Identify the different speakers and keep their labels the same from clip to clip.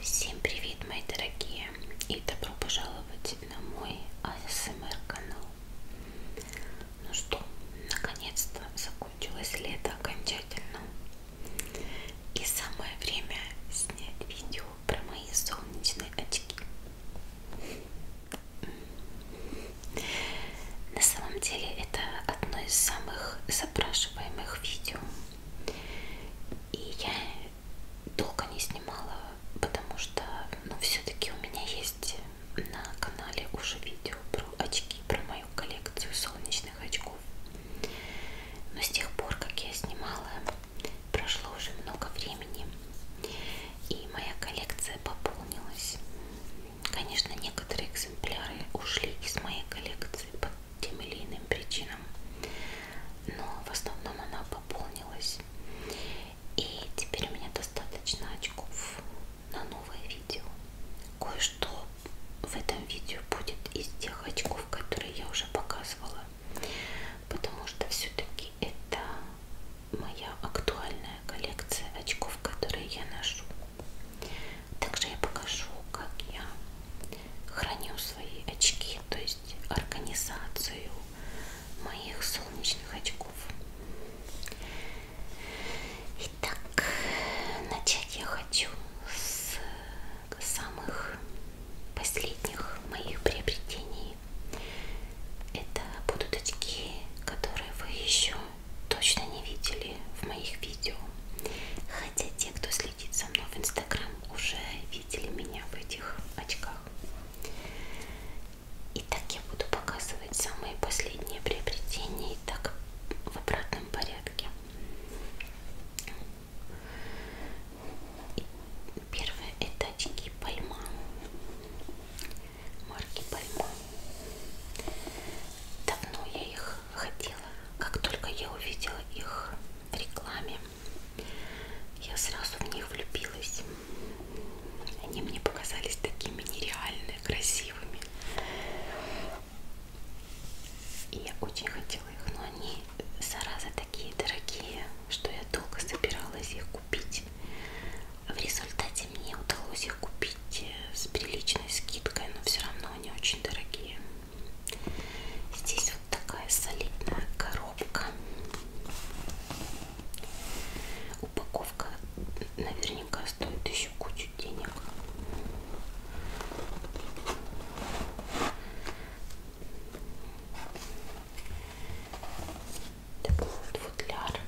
Speaker 1: Всем привет, мои дорогие, и добро пожаловать на мой АСМР канал. Ну что, наконец-то закончилось лето окончательно. И самое время снять видео про мои солнечные очки. На самом деле это одно из самых запрашиваемых видео. И я долго не снимала, потому что ну, все-таки у меня есть на канале уже видео про очки, про мою коллекцию солнечных очков. Но с тех пор, как я снимала, прошло уже много времени, и моя коллекция пополнилась. Конечно, некоторые экземпляры ушли из моей коллекции по тем или иным причинам, но в основном она пополнилась. И теперь у меня достаточно очков на новое видео. Кое-что в этом видео будет из тех очков, которые я уже показывала, потому что все-таки это моя актуальная коллекция очков, которые я ношу. Также я покажу, как я храню свои очки, то есть организацию моих солнечных очков. Итак, начать я хочу с самых последних моих приобретений. Это будут очки, которые вы еще точно не видели в моих видео. Хотя те, кто следит за мной в Инстаграм, уже видели меня в этих очках. Итак, я буду показывать самые последние приобретения и так в обратном порядке. Первое это очки Пальма марки Пальма. Давно я их хотела. Как только я увидела их в рекламе, я сразу в них влюбилась. Они мне показались такими нереально красивыми. И я очень хотела их, но они, зараза, такие дорогие, что я долго собиралась их купить. В результате мне удалось их купить э, с приличной скидкой, но все равно они очень дорогие. Здесь вот такая солидная коробка. Упаковка наверняка стоит еще кучу денег. Это был футляр.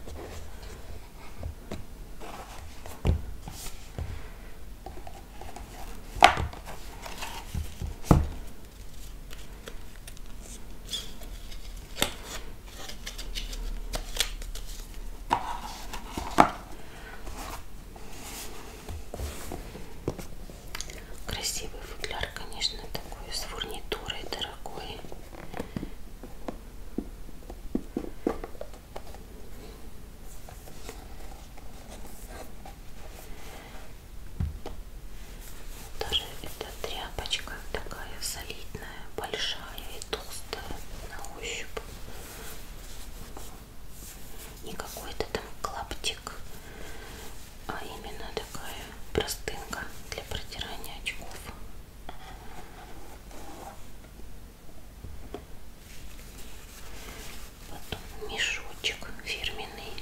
Speaker 1: Красивый футляр, конечно, такой с фурнитурой дорогой. Даже эта тряпочка такая солидная, большая и толстая на ощупь. Не какой-то там клаптик, а именно такая простынка для протирания очков. Потом мешочек фирменный.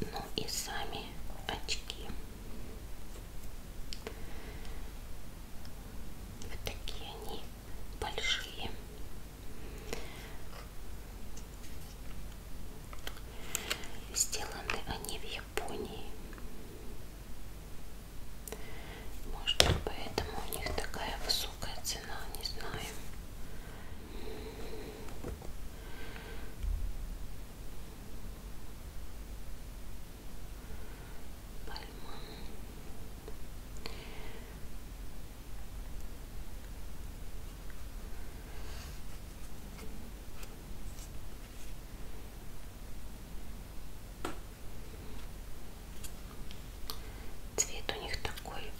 Speaker 1: Ну и сами очки. Вот такие они большие. Сделаны они в Японии. Может быть, поэтому у них такая высокая цена, не знаю
Speaker 2: пальма Цвет у них такой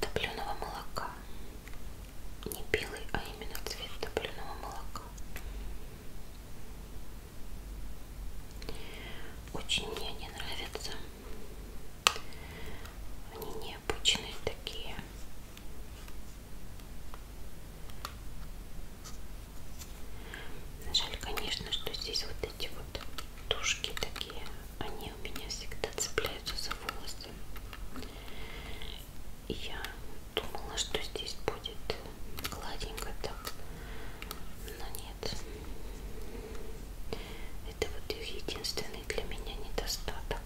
Speaker 1: топленого молока. Не белый, а именно цвет топленого молока. Очень мне они нравятся. Они необычные такие. Жаль, конечно, что здесь вот эти вот тушки такие, они у меня всегда цепляются за волосы я думала, что здесь будет гладенько так, но нет. Это вот их единственный для меня недостаток.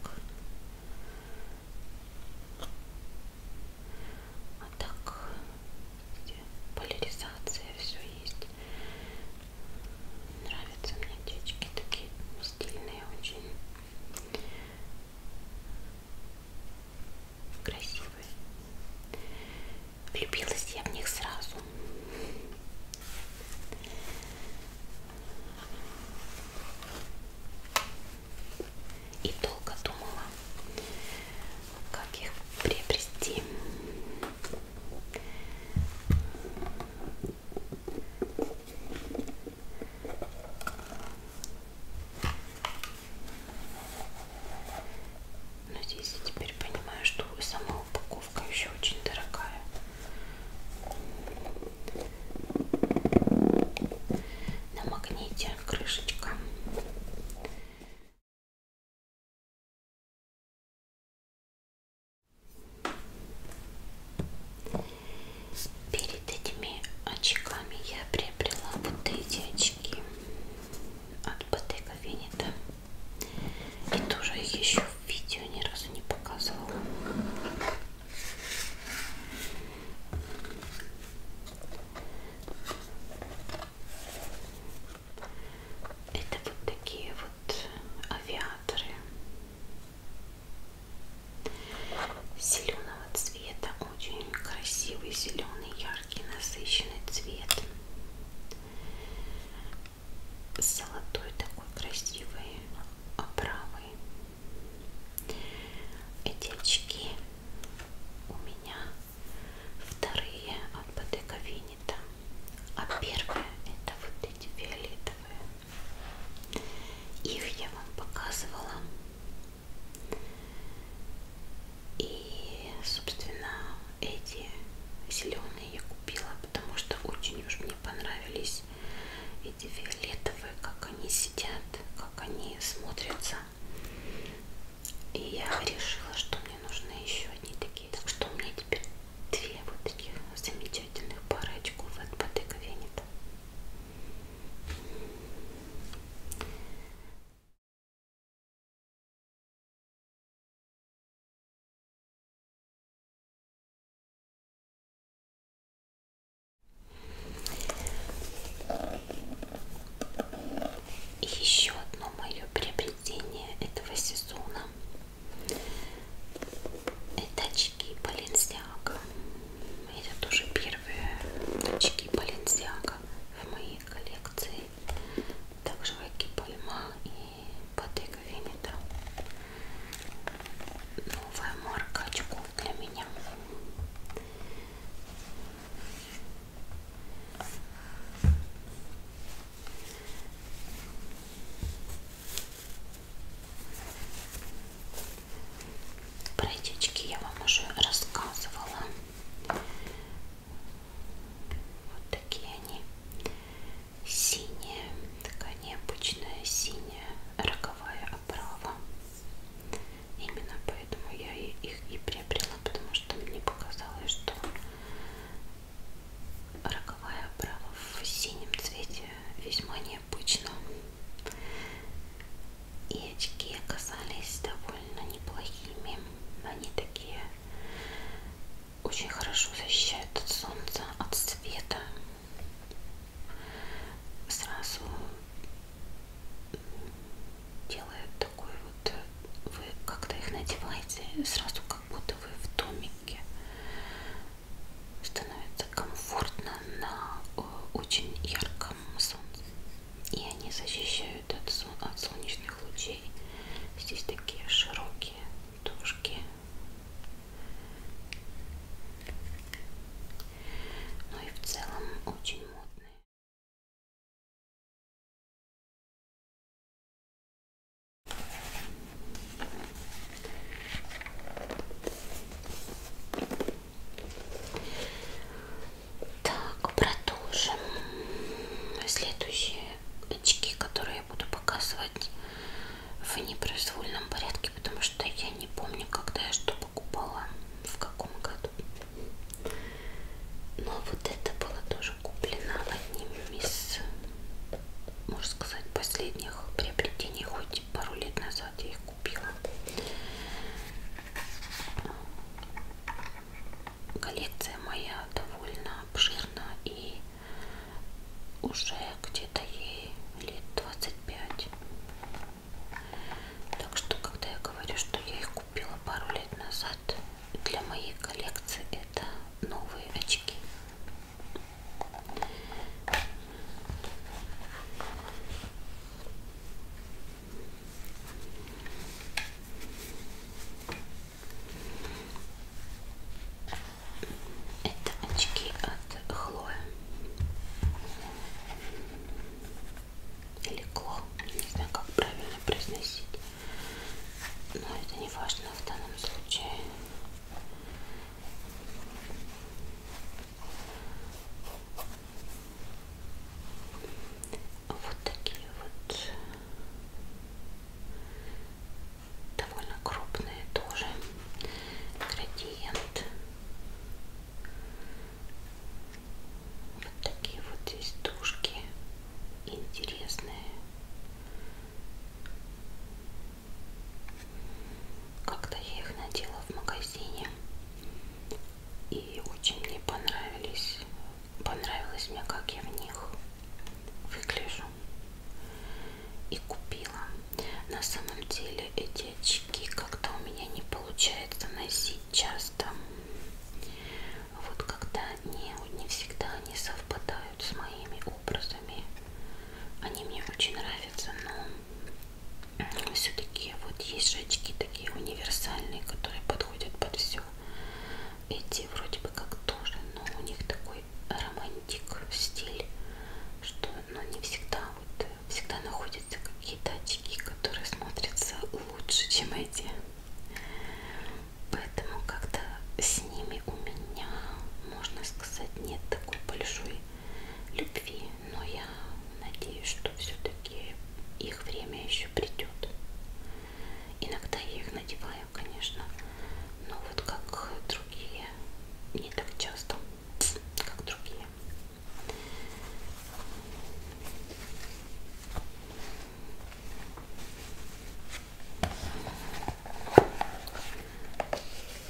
Speaker 1: А так, где поляризация, все есть. Нравятся мне девочки такие стильные очень красивые. Влюбилась я в них сразу. И долго думала, как их приобрести. Но здесь я теперь понимаю, что сама упаковка еще очень дорогая.
Speaker 2: На магните крышечка. Вот перед этими очками я приобрела вот эти очки
Speaker 1: от Bottega Veneta и тоже их еще в видео ни разу не показывала это вот такие вот авиаторы Зеленого цвета, очень красивый зеленый, яркий, насыщенный цвет. Золотой такой красивый, оправый. Эти очки у меня вторые от Бодега Винета, а первые это вот эти фиолетовые. Их я вам показывала и, собственно, эти зеленые я купила, потому что очень уж мне понравились эти фиолетовые, как они сидят, как они смотрятся. И я решила, что мне нужны еще одни такие. Так что у меня теперь две вот таких замечательных пары очков от Bottega Veneta.
Speaker 2: И еще одно мое приобретение этого сезона
Speaker 1: это очки Balenciaga. Это тоже первое первые очки Balenciaga в моей коллекции. Также Веки Пальма и Bottega Veneta. Новая марка очков для меня. Про этички я вам уже рассказывала. Вот такие они. Синяя, такая необычная синяя роговая оправа. Именно поэтому я их и приобрела, потому что мне показалось, что роговая оправа в синем цвете весьма необычная обычно. И очки оказались довольно неплохими. Они такие очень хорошо защищают от солнца, от света. Сразу делает такой вот, вы когда их надеваете, сразу как будто вы в домике. Становится комфортно на э, очень ярком самому солнцу. И они защищают от, сол от солнечных лучей. Здесь такие широкие дужки.
Speaker 2: Ну и в целом очень модные.
Speaker 1: Так, продолжим. Следующие очки, которые я буду показывать в непроизвольном порядке, потому что я не помню, когда я что покупала, в каком году. Но вот это было тоже куплено одним из, можно сказать, последних приобретений, хоть пару лет назад я их купила. Коллекция моя довольно обширна и уже где-то ей лет 25. Так что, когда я говорю, что я их купила пару лет назад, для моей коллекции это новые очки. Это очки от Хлоя или Кло, не знаю, как правильно произносить, но это не важно в данном случае. Вот такие вот довольно крупные тоже градиент. Вот такие вот здесь тушки интересные. Как-то я их надела в магазине. И очень мне понравились. Понравилось мне, как я в них выгляжу. И купила. На самом деле эти очки как-то у меня не получается носить часто. Вот когда они не всегда они совпадают с моими образами. Они мне очень нравятся, но все-таки вот есть же очки такие универсальные, которые подходят под все. Эти вроде бы как тоже, но у них такой романтик стиль, что ну, не всегда вот всегда находятся какие-то очки, которые смотрятся лучше, чем эти. Поэтому как-то с ними у меня, можно сказать, нет такой большой любви. Но я надеюсь, что все-таки их время еще придет. Иногда я их надеваю, конечно, но вот как другие, не так часто, как другие.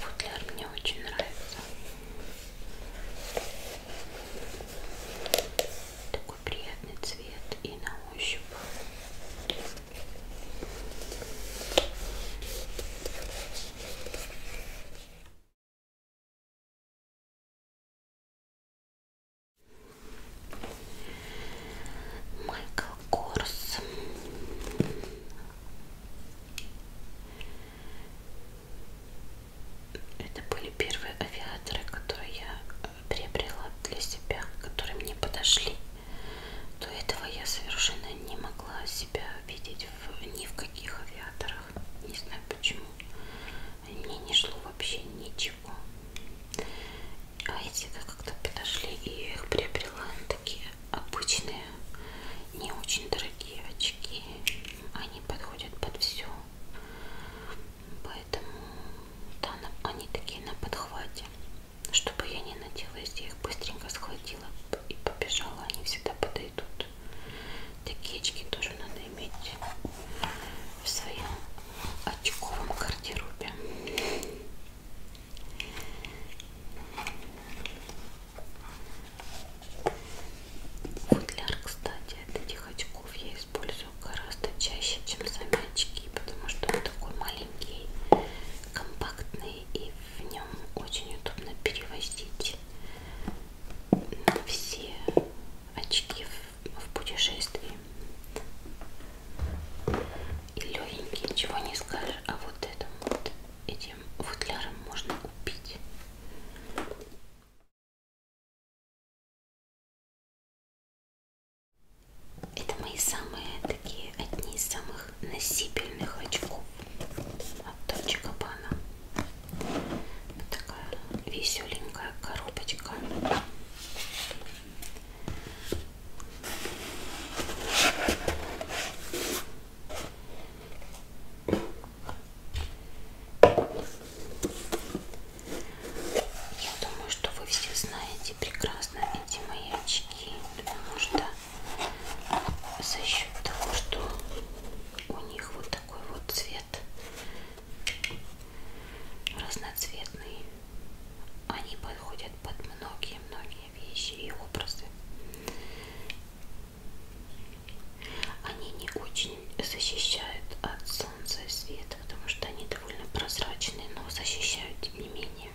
Speaker 1: Футляр мне очень нравится. Такой приятный цвет и на ощупь. Майкл Корс это были первые авиаторы, которые я э, приобрела для себя, которые мне подошли. До этого я совершенно не могла себя видеть в, ни в каких авиаторах. Не знаю почему. Мне не шло вообще ничего. А эти как-то подошли и я их приобрела. Такие обычные, не очень дорогие очки. Они подходят под все. Поэтому да, они такие на подхвате. Чтобы я не надела, если я их быстренько схватила и побежала, они всегда подойдут. Такие очки тоже надо иметь в своем очковом гардеробе. Футляр, кстати, от этих очков я использую гораздо чаще, чем сами очки, потому что он такой маленький, компактный и в нем очень удобно перевозить все очки в, в путешествии. И легенький, ничего не скажешь, а вот это
Speaker 2: вот этим футляром можно убить. Это мои самые такие одни из самых носибельных очков от Дольче Габбана. Вот такая веселенькая коробочка.
Speaker 1: Я думаю, что вы все знаете прекрасно эти мои очки, потому что за счет того, что у них вот такой вот цвет разноцветный, они подходят под многие-многие вещи и образы. Они не очень защищают от солнца и света, потому что они довольно прозрачные, но защищают тем не менее.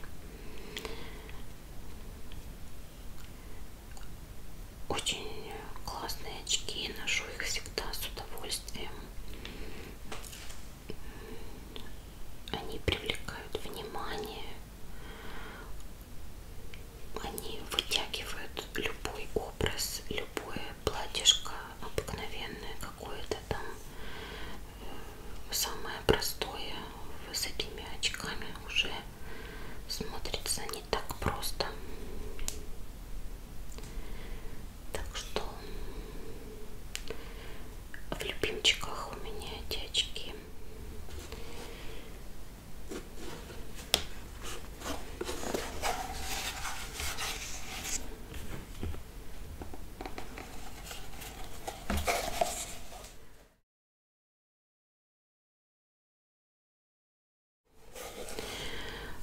Speaker 1: Очень классные очки, ношу их всегда с удовольствием. Они привлекают внимание, они вытягивают любой образ, любое платьишко обыкновенное какое-то там, э, самое простое, с этими очками уже смотрится не так просто. Так что в любимчиках у меня эти очки.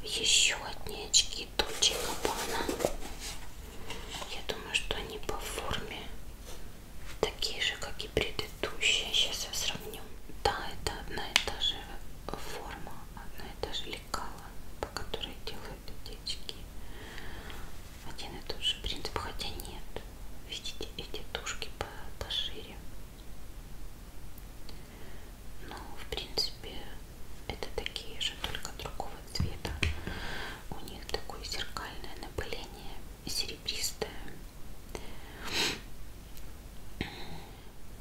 Speaker 2: Еще одни очки Дольче Габбана. Я
Speaker 1: думаю, что они по форме такие же, как и предыдущие. Сейчас я сравню. Да, это одна и та же форма, одна и та же лекала, по которой делают утечки. Один и тот же принцип, хотя нет. Видите, эти тушки пошире. Но, в принципе, это такие же, только другого цвета. У них такое зеркальное напыление серебристая.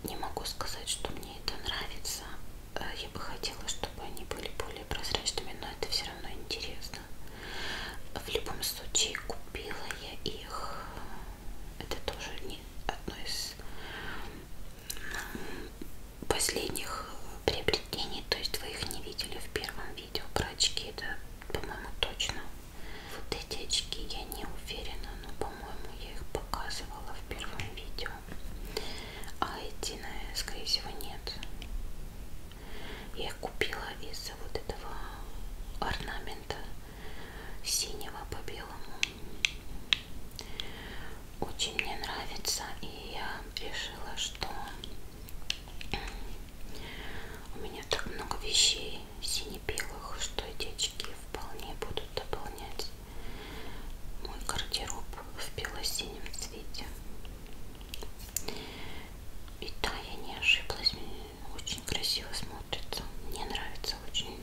Speaker 1: Не могу сказать, что мне это нравится. Э, я бы хотела, чтобы они были более прозрачными, но это все равно интересно. В любом случае, купила я их. Это тоже не одно из последних приобретений, то есть вы их не видели в первом видео про очки, да, по-моему, точно. Вот эти очки я не уверена, но, по-моему, я их показывала в первом видео. А эти, наверное, скорее всего, нет. Я их купила из-за вот этого орнамента синего по белому. Очень мне нравится, и я решила, что у меня так много вещей сине-белых, что деточки вполне будут дополнять мой гардероб в бело-синем цвете. И да, я не ошиблась, очень красиво смотрится, мне нравится очень.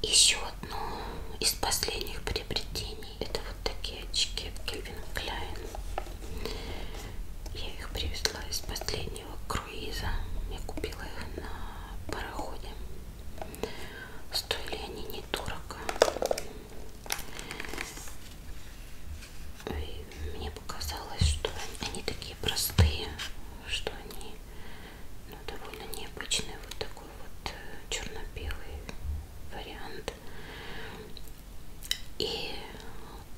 Speaker 1: Еще одно из последних приобретений это вот такие очки в Кельвин Кляйн. Я их привезла из последнего круиза. Я купила их на пароходе. Стоили они недорого. И мне показалось, что они такие простые, что они ну, довольно необычные. Вот такой вот э, черно-белый вариант. И,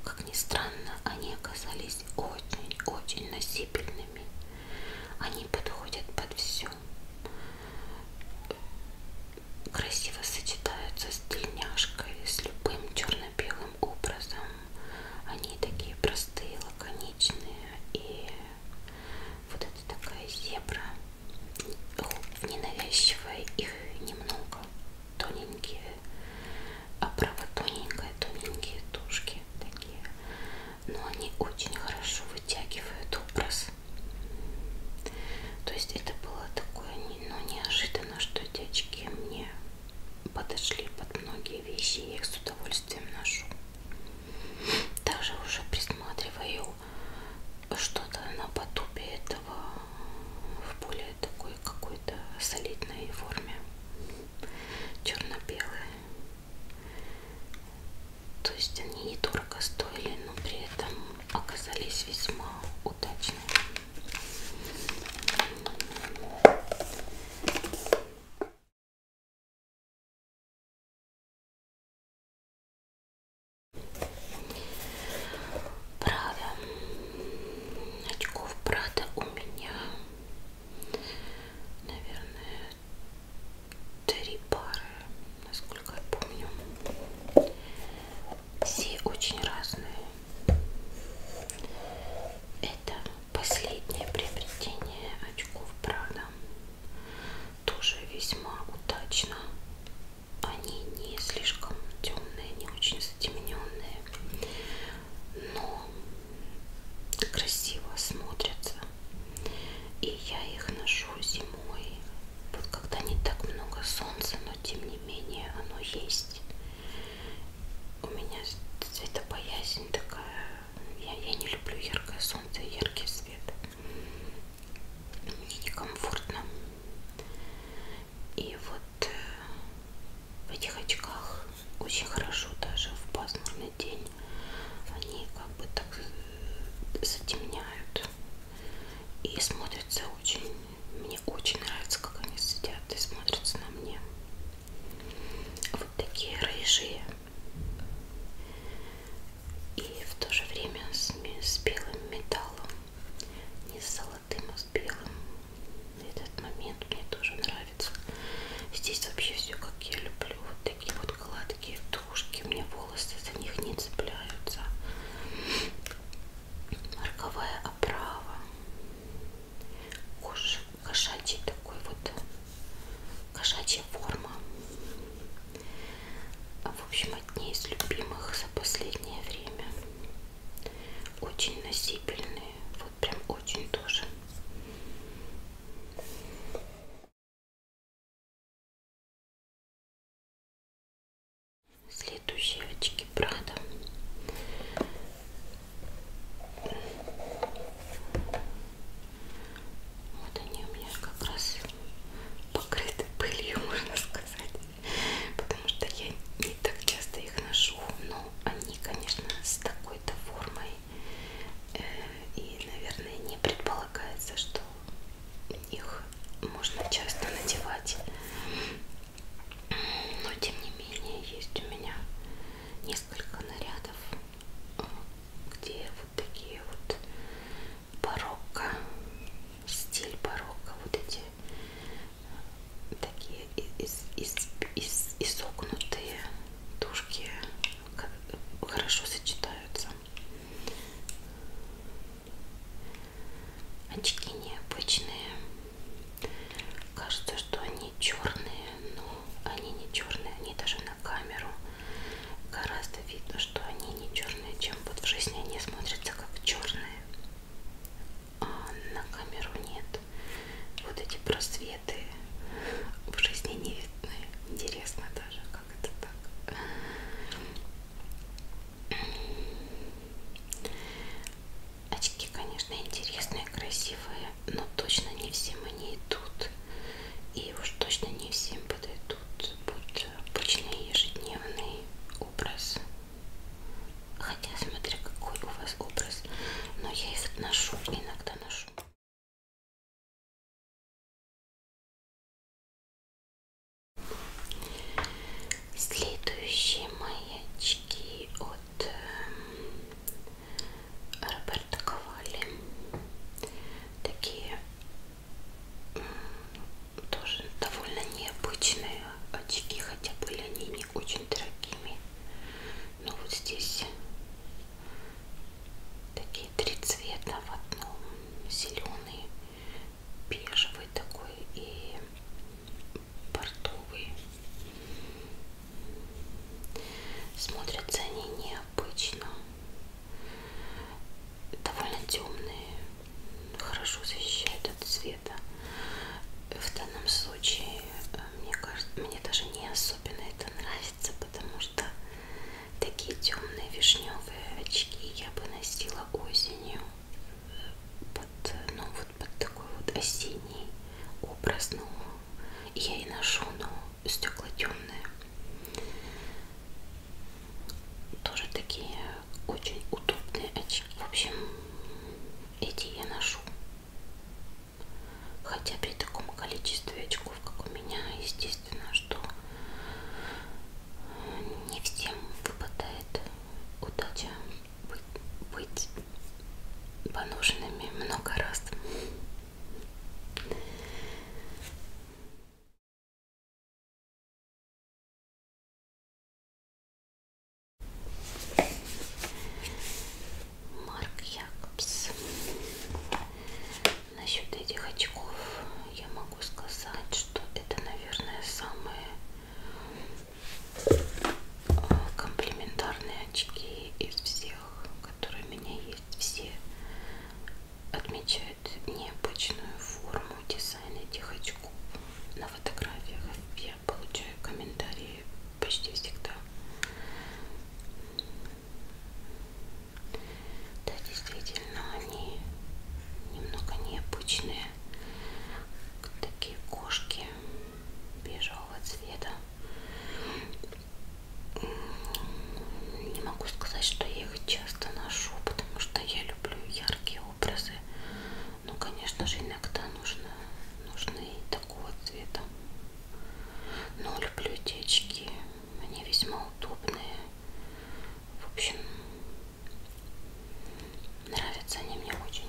Speaker 1: как ни странно, они оказались очень-очень носибельными. Они подходят под все. Красиво сочетаются с тельняшкой, с любым черно-белым образом. Они такие простые, лаконичные. И вот это такая зебра, ненавязчивая, их немного. Тоненькие, оправа а тоненькая, тоненькие тушки такие. Но они очень хорошо вытягивают образ. То есть это было такое ну, неожиданно, что эти очки мне подошли под многие вещи, я их с удовольствием ношу. Также уже присматриваю что-то на потупе этого в более такой какой-то солидной форме. Черно-белые. То есть они недорого стоили, но при этом
Speaker 2: оказались весьма удачными. Правда, очков Прада у меня, наверное, три пары, насколько я помню.
Speaker 1: Все очень разные. Это последнее приобретение очков, правда. Тоже весьма удачно. Они не слишком темные, не очень затемненные, но красиво смотрятся. И я их ношу зимой, вот когда не так много солнца, но тем не менее оно есть у меня цветопоязнь такая. Я, я не люблю яркое солнце и яркий свет. Мне некомфортно. И вот э, в этих очках очень хорошо даже в пасмурный день они как бы так э, затемняют и смотрятся очень мне очень нравится как они сидят и смотрятся на мне вот такие рыжие и в то же время с, с белым металлом, не с золотым, а с белым. Этот момент мне тоже нравится. Здесь вообще все как я люблю. Вот такие вот гладкие тушки. У меня волосы за них не цепляются. Роковая оправа. Кош, кошачий такой вот, кошачья форма. А, в общем, одни из любимых за последнее время.
Speaker 2: Очень носибельные, вот прям очень тоже. Следующие очки Прада. Вот они у меня как раз покрыты пылью, можно сказать. Потому что я не так часто
Speaker 1: их ношу, но они, конечно, с такой-то формой. Э, и, наверное, не предполагается, что их можно часто надевать но тем не менее есть у меня несколько нарядов, где вот такие вот барокко, стиль барокко, вот эти такие из, из, из, изогнутые тушки хорошо сочетаются. Очки необычные, Кажется, что они черные, но они не черные, они даже на камеру гораздо видно, что они не черные, чем вот в жизни они смотрятся как черные. А на камеру нет. Вот эти просветы в жизни не видны. Интересно даже, как это так. Очки, конечно, интересные, красивые, но точно не всем они идут. И уж точно не всем подойдут будет обычный ежедневный
Speaker 2: образ. Хотя, смотря какой у вас образ, но я их ношу, иногда ношу. Следующие мои очки от от эм, Роберта Ковали.
Speaker 1: Такие тоже довольно необычные очки, хотя были они не очень дорогими. Но вот здесь такие три цвета в одном. Зеленый, бежевый такой и портовые. Смотрятся они необычно. Довольно темные. Хорошо защищают от света. В данном случае, э, мне кажется, мне даже не особенно это нравится, потому что такие темные вишневые очки я бы носила осенью э, под, ну, вот под такой вот осенний образ, но ну, я и ношу, но стекла темные. Тоже такие очень удобные очки. В общем, эти я ношу. Хотя при таком количестве очков, как у меня, естественно, что не всем выпадает удача быть, быть поношенными много раз. Марк Якобс. Насчет этих очков я могу сказать, что это, наверное, самые комплементарные очки из всех, которые у меня есть, все отмечают необычную форму дизайна этих очков. На фотографиях я получаю комментарии почти всегда. Да, действительно, они немного необычные. Такие кошки бежевого цвета. Не могу сказать, что я их часто ношу, потому что я люблю яркие образы. Но, конечно же, иногда нужно, нужны и такого цвета. Но люблю эти очки. Они весьма удобные. В общем,
Speaker 2: нравятся они мне очень.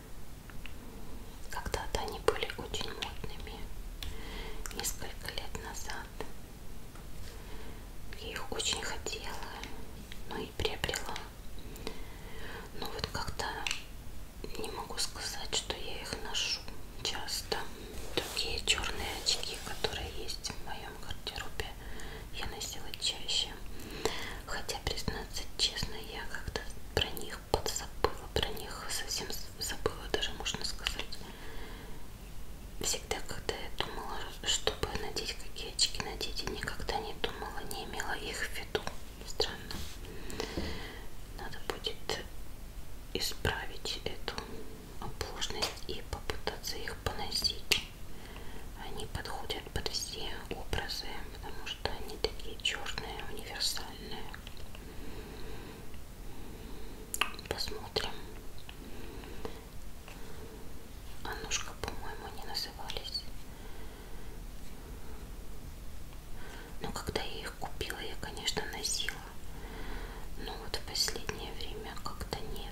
Speaker 1: Когда-то они были очень модными. Несколько лет назад я их очень хотела, но и приобрела. Но вот как-то не могу сказать, что я их ношу часто. Другие черные очки, которые есть в моем гардеробе, я носила чаще вообще. Хотя, признаться честно, я как-то про них подзабыла, про них совсем забыла, даже можно сказать. Всегда, когда я думала, чтобы надеть какие очки надеть, я никогда не думала, не имела их в виду. Странно. Надо будет исправить эту оплошность и попытаться их поносить. Они подходят под все образы, потому что они такие черные, универсальные.
Speaker 2: Посмотрим.
Speaker 1: Аннушка, по-моему, они назывались. Но когда я их купила, я, конечно, носила. Но вот в последнее время как-то нет.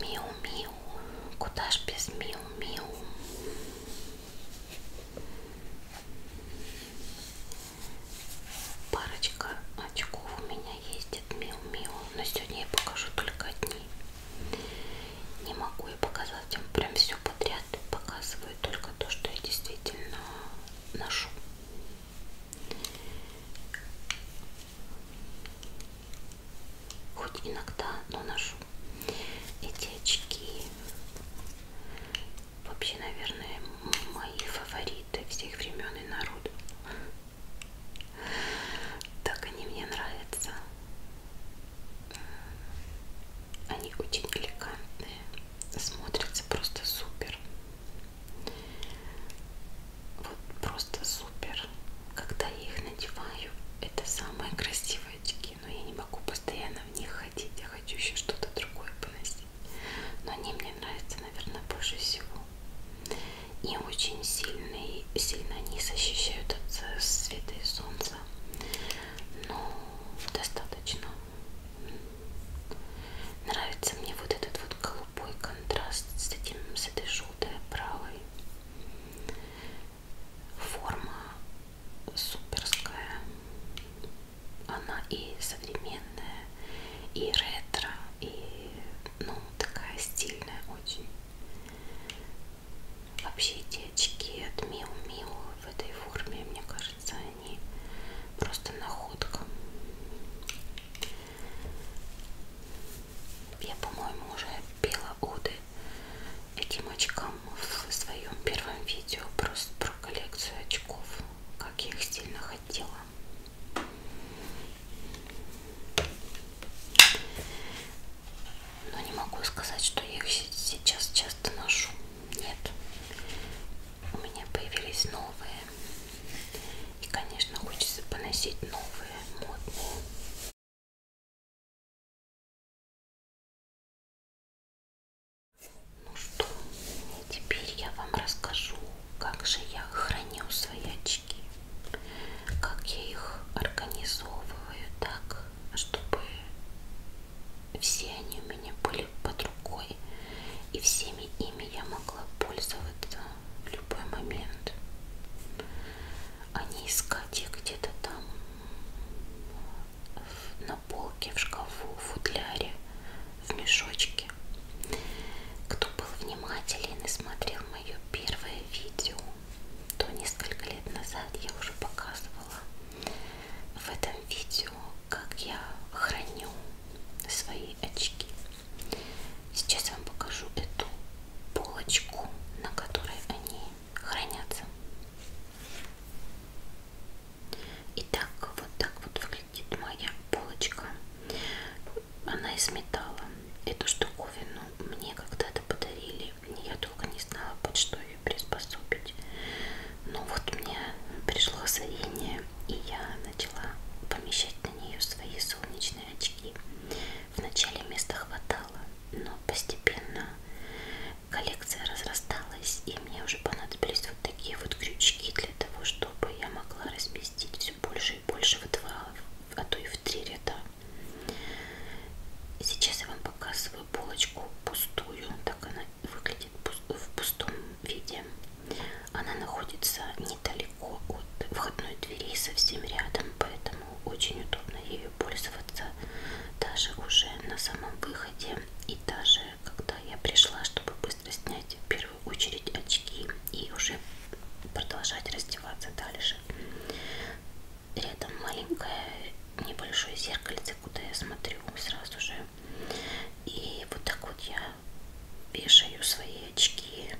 Speaker 2: Миу-миу, куда ж без миу-миу?
Speaker 1: Парочка очков у меня ездит миу-миу, но сегодня я покажу только одни. Не могу я показать вам прям все подряд, показываю только то, что я действительно ношу хоть иногда, но ношу. Эти очки вообще, наверное, мои фавориты всех времен и народов. Так они мне нравятся. Они очень элегантные, смотрятся просто супер вот просто супер. Когда я их надеваю, это самые красивые очки, но я не могу постоянно в них ходить. Я хочу еще что-то другое поносить. Но они мне нравятся, наверное, больше всего. И очень сильные, сильно они защищают от света и солнца. Но ну, достаточно. Нравится мне вот этот вот голубой контраст с этим с этой желтый, правый. Форма суперская. Она и современная, и ретро, и ну такая стильная очень. Вообще эти очки от Миу Миу в этой форме, мне кажется, они просто находка. Я, по-моему, уже пела уды этим очкам в своем первом видео просто про коллекцию очков, как я их сильно хотела. Но не могу сказать, что я их сейчас часто ношу. Нет.
Speaker 2: У меня появились новые. И, конечно, хочется поносить новые, модные. Ну что, теперь я вам расскажу, как же я храню свои очки, как я их
Speaker 1: организовываю так, чтобы все они у меня были под рукой, и всеми ими я могла пользоваться в любой момент, а не искать их где-то там на полке, в шкафу, в футляре, в мешочке. Кто был внимателен и смотрел мое первое видео, то несколько лет назад я уже показывала в этом видео, как я храню свои очки. Сейчас я вам покажу эту полочку, на которой они хранятся. Итак, вот так вот выглядит моя полочка. Она из металла. Эту штуковину мне когда-то подарили. Я долго не знала, под что ее приспособить. Но вот мне пришло озарение, и я начала помещать на нее свои солнечные очки. Вначале места хватало, но постепенно коллекция разрасталась, и мне уже понадобились вот такие вот крючки для того, чтобы я могла разместить все больше и больше в два, а то и в три ряда. Сейчас я вам показываю полочку пустую, так она выглядит в пустом виде. Она находится недалеко от входной двери, совсем рядом, поэтому очень удобно ею пользоваться даже уже на самом выходе и даже когда я пришла, чтобы быстро снять в первую очередь очки и уже продолжать раздеваться дальше. Рядом маленькое небольшое зеркальце, куда я смотрю сразу же. И вот так вот я вешаю свои очки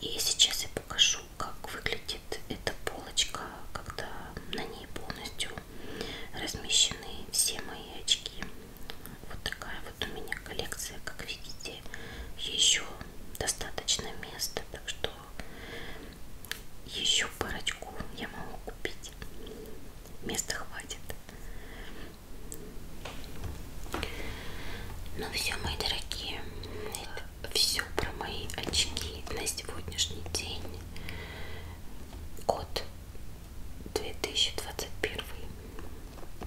Speaker 1: и сейчас я покажу, как выглядит эта полочка, когда на ней полностью размещены все мои очки. Вот такая вот у меня коллекция, как видите, еще достаточно места, так что еще парочку я могу купить. Места хватит. Ну все, мои дорогие, это все про мои очки на сегодняшний день. Год 2021.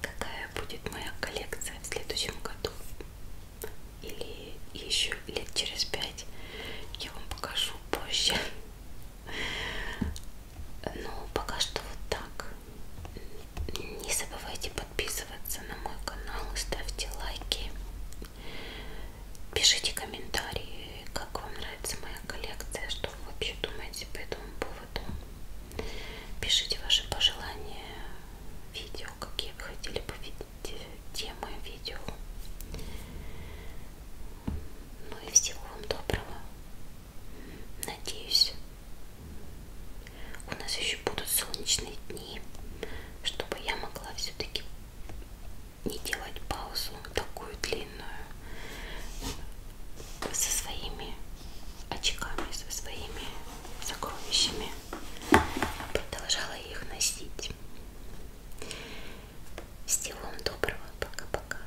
Speaker 1: Какая будет моя коллекция в следующем году? Или еще лет через пять я вам покажу позже. Но ну, пока что вот так. Не забывайте подписываться на мой канал, ставьте лайки, пишите комментарии, как вам нравится моя коллекция, что вы вообще думаете по этому поводу. Пишите ваши пожелания, видео, какие вы хотели бы видеть, темы видео. Ну и всего вам доброго. Надеюсь, у нас еще будут солнечные дни, чтобы я могла все-таки не делать паузу такую длинную со своими очками, со своими сокровищами. Продолжала их носить. Всего вам доброго. Пока-пока.